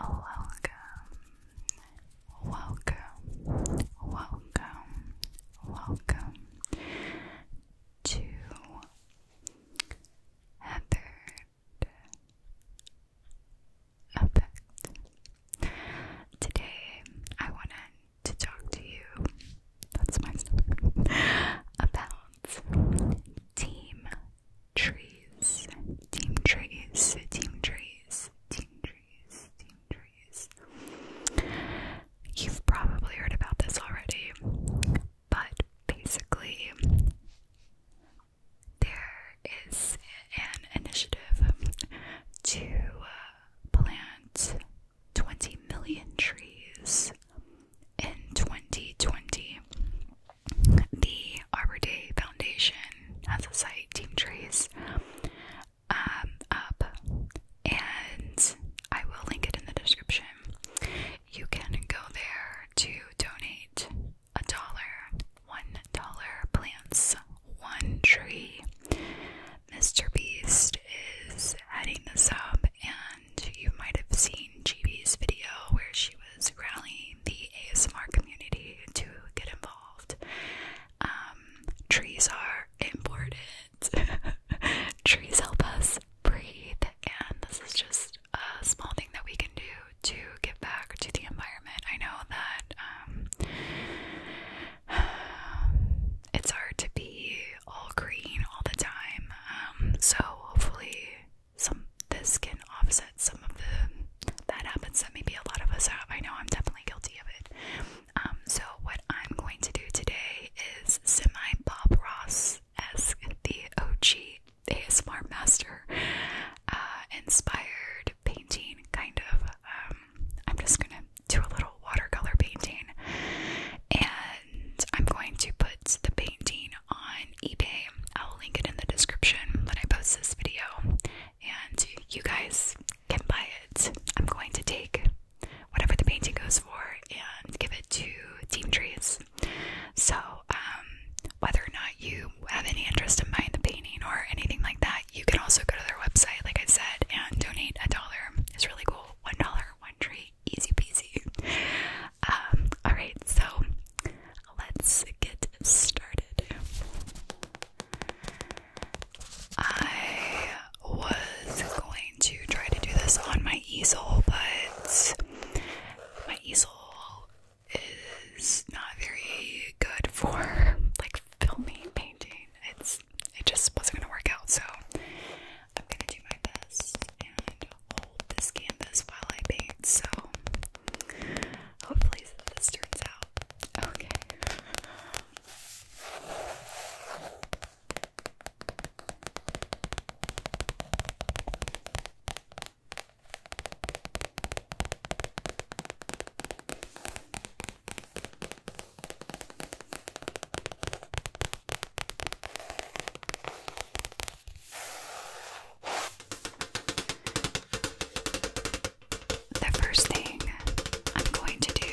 Oh, welcome, welcome, welcome, welcome to a effect. Today, I want to to talk to you. That's my stomach. about team trees, team trees, team trees, team trees, team trees. You've probably heard about this already, but basically, there is an initiative to uh, plant 20 million trees in 2020. The Arbor Day Foundation has a site, Team Trees, um, up, and I will link it in the description. You can go there to donate a dollar, one dollar plants, one tree. Mr. Beast is heading this up, and you might have seen GB's video where she was rallying the ASMR community to get involved. Um, trees are important, trees help us breathe, and this is just a small thing that we can do to give back to the environment. I know that um, it's hard to be all green all the time. Um, so hopefully, some this can offset some of the that happens that maybe a lot of us have. I know I'm definitely guilty of it. Um, so what I'm going to do today is semi Bob Ross esque the OG ASMR master uh, inspired painting kind of. Um, I'm just gonna do a little watercolor painting and I'm going to put the painting on eBay. I'll link it in the description when I post this video and you guys can buy it. I'm going to take whatever the painting goes for and give it to Team Trees. So, um, whether or not you have any interest in buying the painting or anything like that, you can also go to their website, like I said, and donate a dollar. It's really cool one dollar, one tree, easy peasy. Um, alright, so let's get started. I was going to try to do this on my easel, but my easel is not very good for like filming painting it just wasn't gonna work out, so I'm gonna do my best and hold this canvas while I paint. So hopefully this turns out Okay, the first thing I'm going to do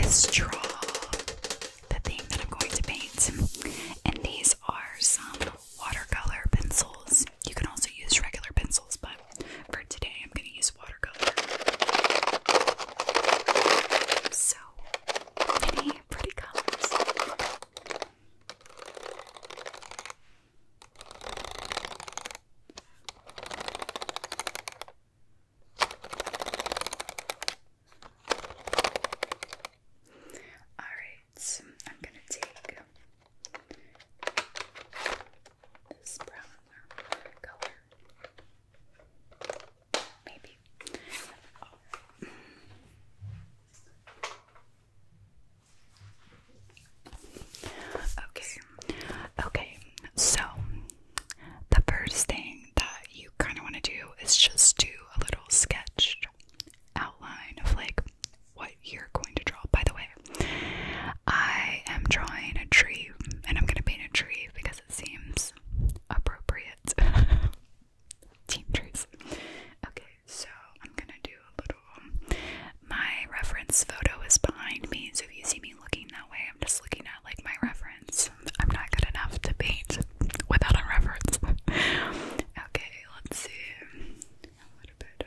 is draw the thing that I'm going to paint. And these are some watercolor pencils. You can also use regular pencils, but for today, I'm going to use watercolor. So many pretty colors. All right, I'm going to take Okay, okay, so the first thing that you kind of want to do is just do a little sketched outline of like what you're going to draw. By the way, I am drawing a tree and I'm gonna paint a tree because it seems appropriate. Team trees. Okay, so I'm gonna do a little. My reference photo is behind me, so if you see me looking that way, I'm just looking at like my reference. I'm not good enough to paint without a reference. okay, let's see. A little bit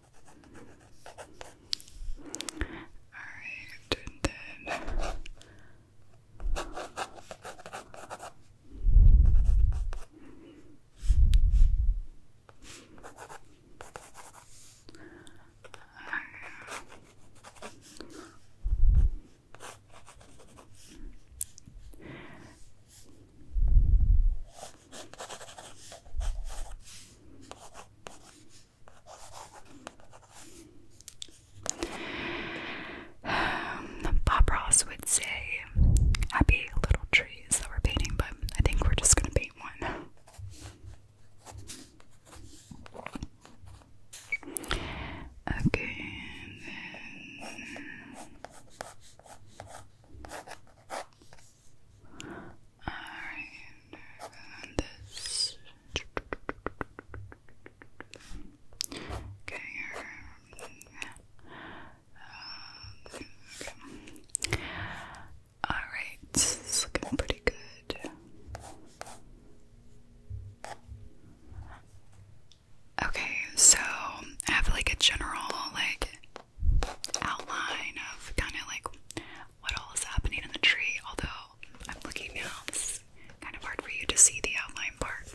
Alright, and then Bob Ross would say, Happy little trees that we're painting, but I think we're just gonna paint one. Okay, Alright, this. Okay, Alright, looking pretty good. Okay, so I have like a general like outline of kind of like what all is happening in the tree. Although I'm looking now, it's kind of hard for you to see the outline part.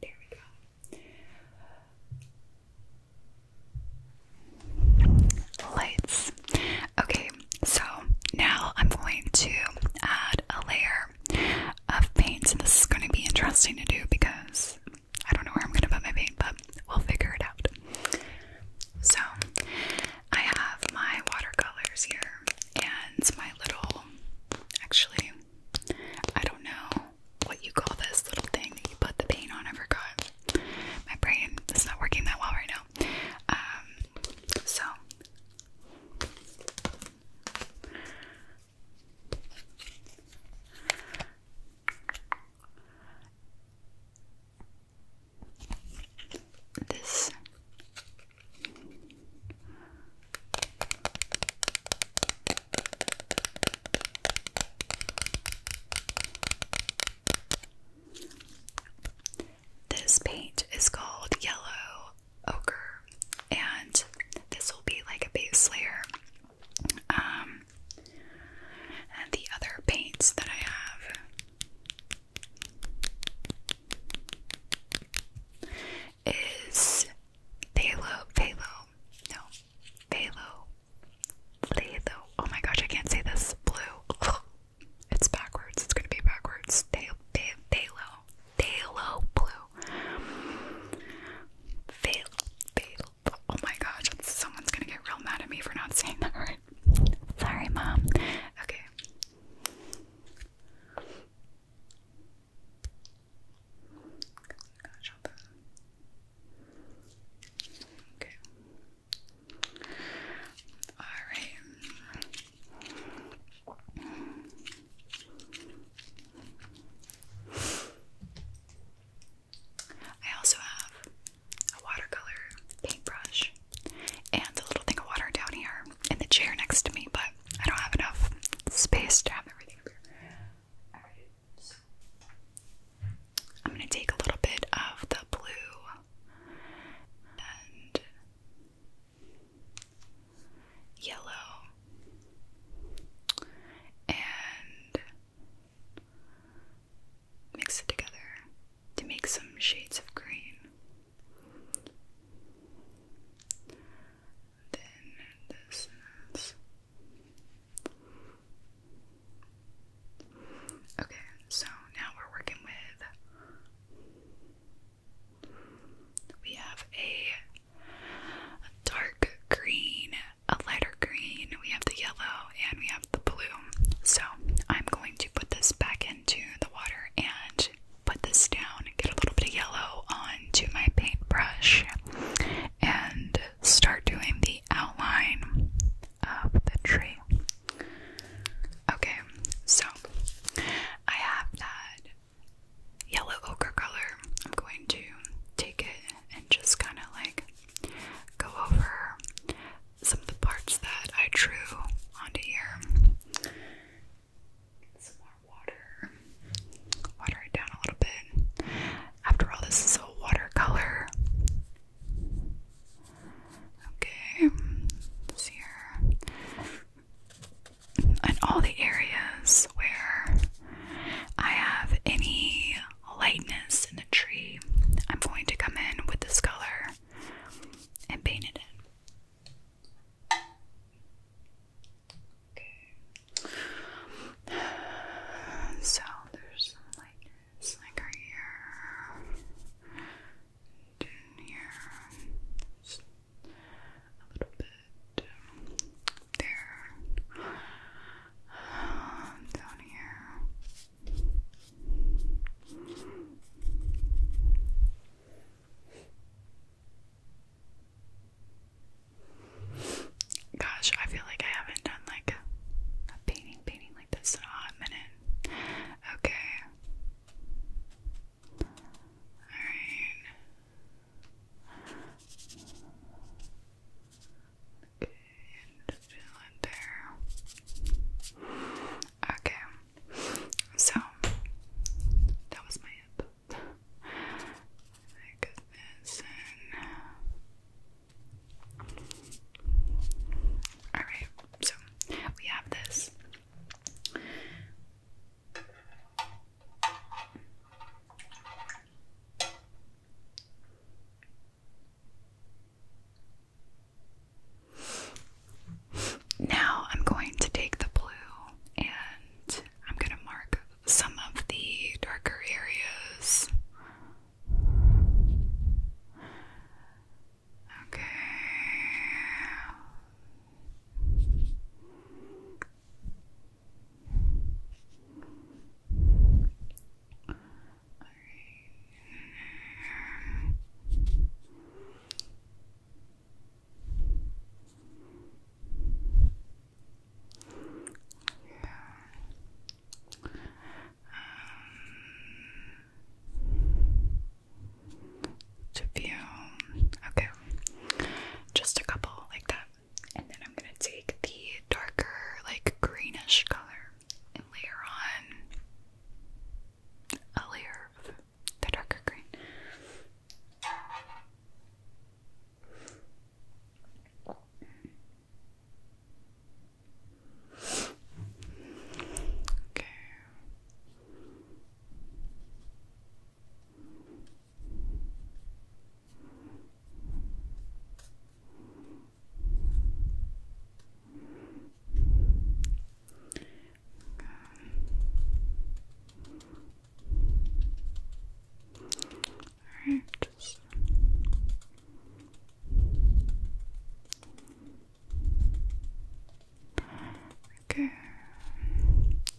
There we go. Lights. Okay, so now I'm going to add a layer of paint. And this is going to be interesting to do because I don't know where I'm gonna put my paint, but we'll figure it out. So, I have my watercolors here and my little, actually, I don't know what you call this little thing that you put the paint on. I forgot. My brain is not working that well right now. Um, so, this this paint is called yellow ochre and this will be like a base layer um and the other paints that I have. Is Phthalo, Phthalo, no, Phthalo, Phthalo, oh my gosh, I can't say this, blue, it's backwards, it's gonna be backwards, Phthalo, Phthalo, Phthalo blue, Phthalo, Phthalo, Oh my gosh, someone's gonna get real mad at me for not saying that right. Sorry, mom. okay. All right. I also have a watercolor paintbrush and a little thing of water down here in the chair next to me, but I don't have enough space to have everything here. I'm gonna take a little bit of the blue and yellow and mix it together to make some shades of green. Then this okay, so now we're working with we have a dark green a lighter green, we have the yellow, and we have the blue. So I'm going to put this back into the water and put this down and get a little bit of yellow onto my paintbrush and start doing the outline of the tree. Okay, so I have that yellow ochre color. I'm going to take it and just kind of like go over some of the parts that I drew onto here. Some more water. Water it down a little bit. After all, this is a watercolor. Okay, see here. And all the areas where I have any lightness in the tree, I'm going to come in with this color and paint it So there's some lightness like here, here, a little bit there, um, down here. Gosh, I feel like I haven't done like a painting painting like this in a hot minute. Okay. Alright. Okay, and fill it there. Okay, so that was my hip. alright, so we have this. Now I'm going to take the blue and I'm going to mark some of the darker areas. Okay. All right. Yeah. Um, to view, okay, just a couple like that and then I'm gonna take the darker, like greenish color and layer on a layer of the darker green. Okay. All right, just okay.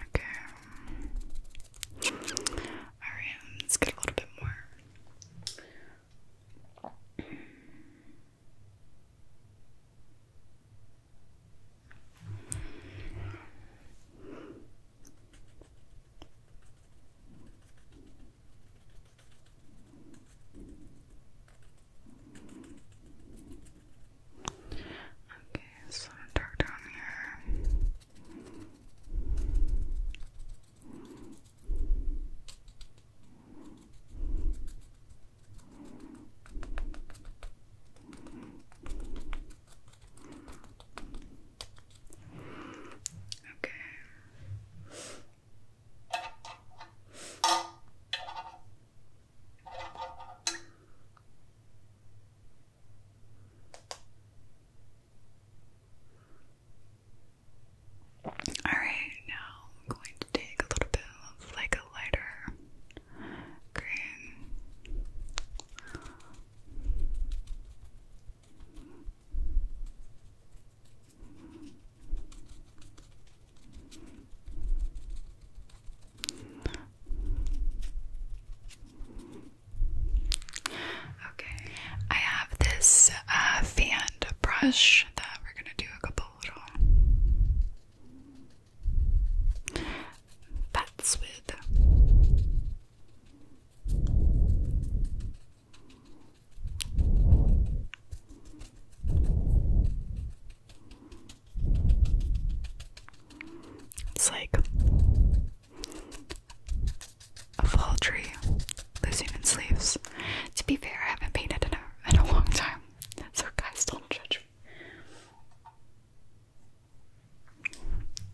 Okay. Alright, let's get a little bit more. Okay, so dark down here. Okay, all right, now I'm going to take a little bit of like a lighter green. Okay, I have this uh, fan brush that we're gonna do a couple little bats with. It's like a fall tree losing its leaves. To be fair, I haven't painted in a, in a long time, so guys, don't judge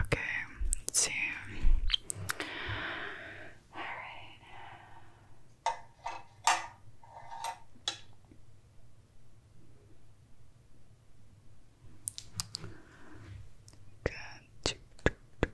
Okay, let see. All right. Good.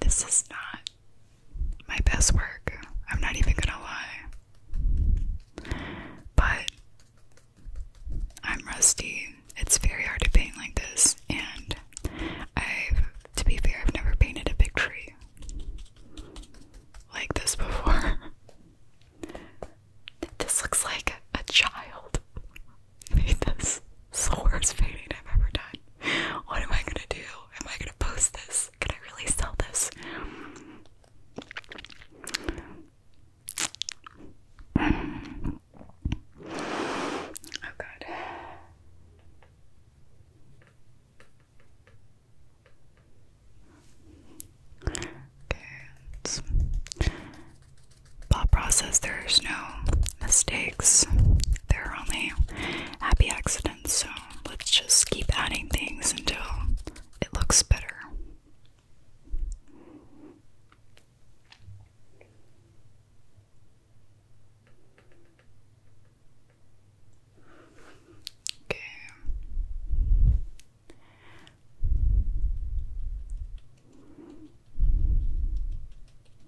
This is not my best work. I'm not even gonna lie. But I'm rusty. It's very hard to paint like this, and I've, to be fair, I've never painted a big tree like this before. this looks like a child made this. It's the worst painting I've ever done. What am I gonna do? Am I gonna post this? Can I really sell this? Oh god. Okay, let's process, there's no mistakes there are only happy accidents, so let's just keep adding things until it looks better. Okay.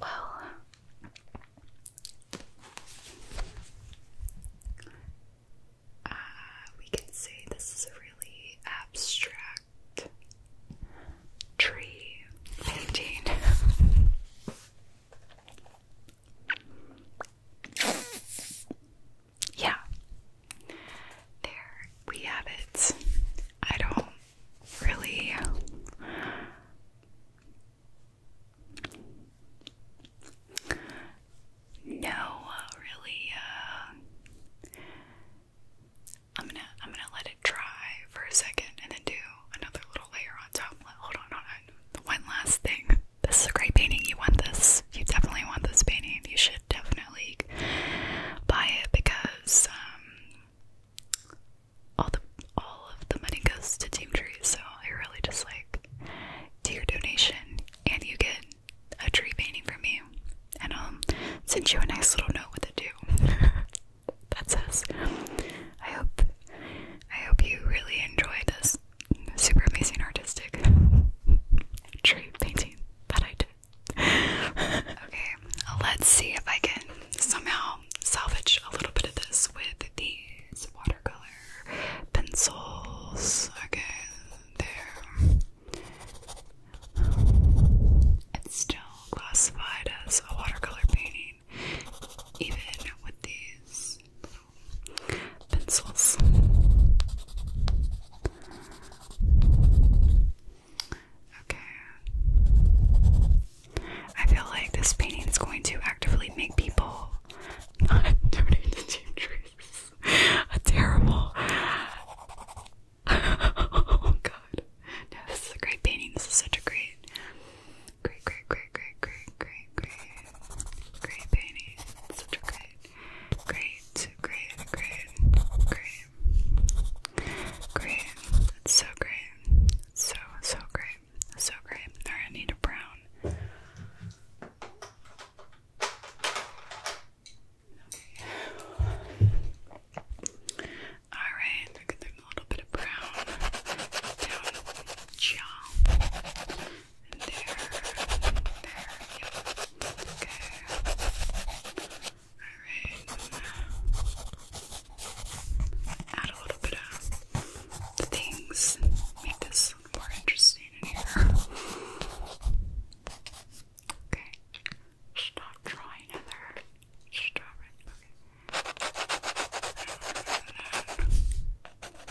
Well, we can say this is a really abstract tree painting. Yeah. There we have it. I don't really know really uh, I'm gonna I'm gonna let it dry for a second and then do another little layer on top. hold on. One last thing this is a great painting. You want this. You definitely want this painting. You should definitely buy it because um, all the all of the money goes to Team Trees. So I really just like do your donation, and you get a tree painting from me, and I'll send you a nice little note with it do that says, I hope I hope you really enjoy this super amazing artistic tree painting that I did. okay, let's see if I can somehow salvage a little bit of this with these watercolor pencils. Okay, there. It's still classified as a watercolor painting, even with these pencils. Okay. I feel like this painting is going to actively make people terrible. oh god. No, this is a great painting. This is such a great Great, great, great, great, great, great, great, great painting. Such a great, great, great, great, great, great. It's so great. It's so, so great. It's so great. All right, I need a brown. Okay. Alright, look at them a little bit of brown down jaw there, there, Okay. Alright. Add a little bit of things. Make this more interesting in here. Okay. Stop drawing Heather. Stop it. Okay.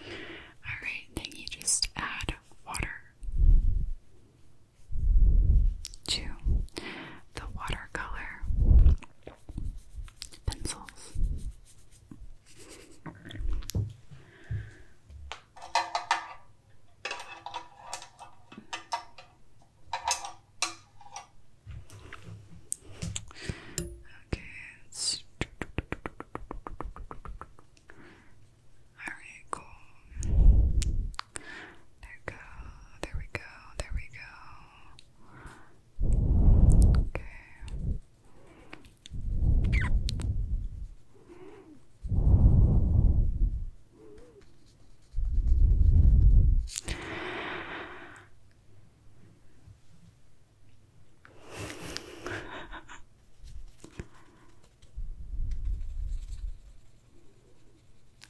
Alright, then you just add water to the watercolor pencils. Okay, it's cool. There we go, there we go, there we go. Okay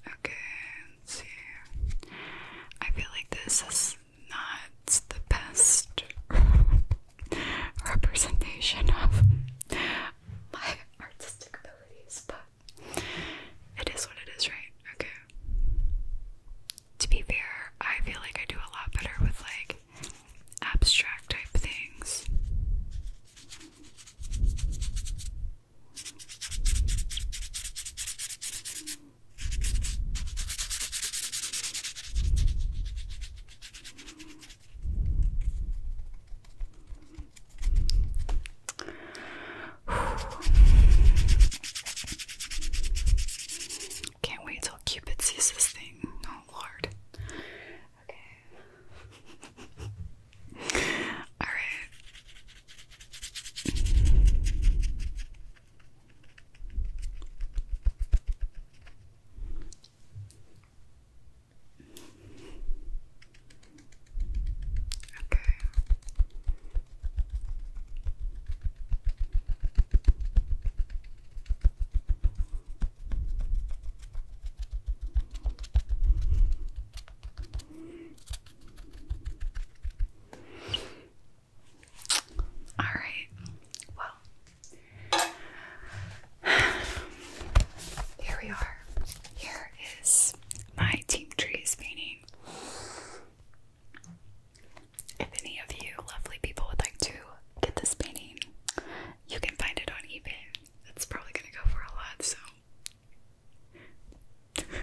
okay, see. I feel like this is not the best representation of my artistic abilities, but it is what it is, right? Okay to be fair, I feel like I do a lot better with like abstract type things. Can't wait till Cupid sees this thing. Oh lord. Okay. Alright. Okay. All right. Well, here we are. Here is my Team Trees painting. If any of you lovely people would like to get this painting, you can find it on eBay. It's probably gonna go for a lot, so. oh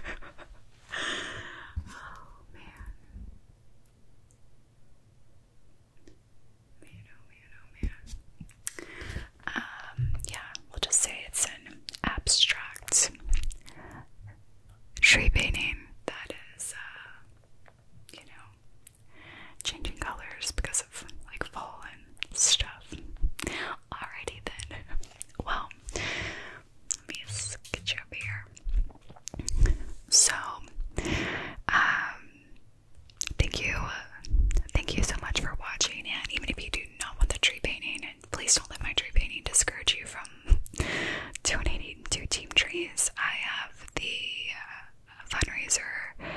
man. Man, oh, man, oh, man. Um, yeah, we'll just say it's an abstract tree painting that is, uh, you know, changing colors because of like fall and stuff. Alrighty then. Well, let me get you over here. So, um, thank you, uh, thank you so much for watching. And even if you do not want the tree painting, please don't let my tree painting discourage you from donating to Team Trees. I have the uh, fundraiser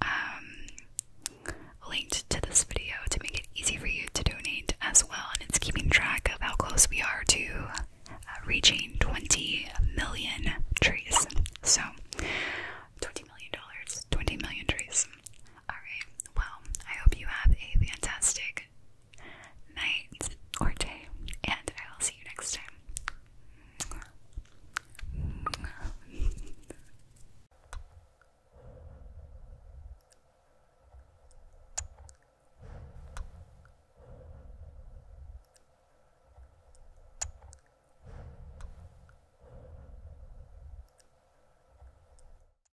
um, linked to this video to make it easy for you to donate as well, and it's keeping track of how close we are to uh, reaching 20 million trees. So, 20 million dollars, 20 million trees. Alright, well, I hope you have a fantastic night, or day, and I will see you next time.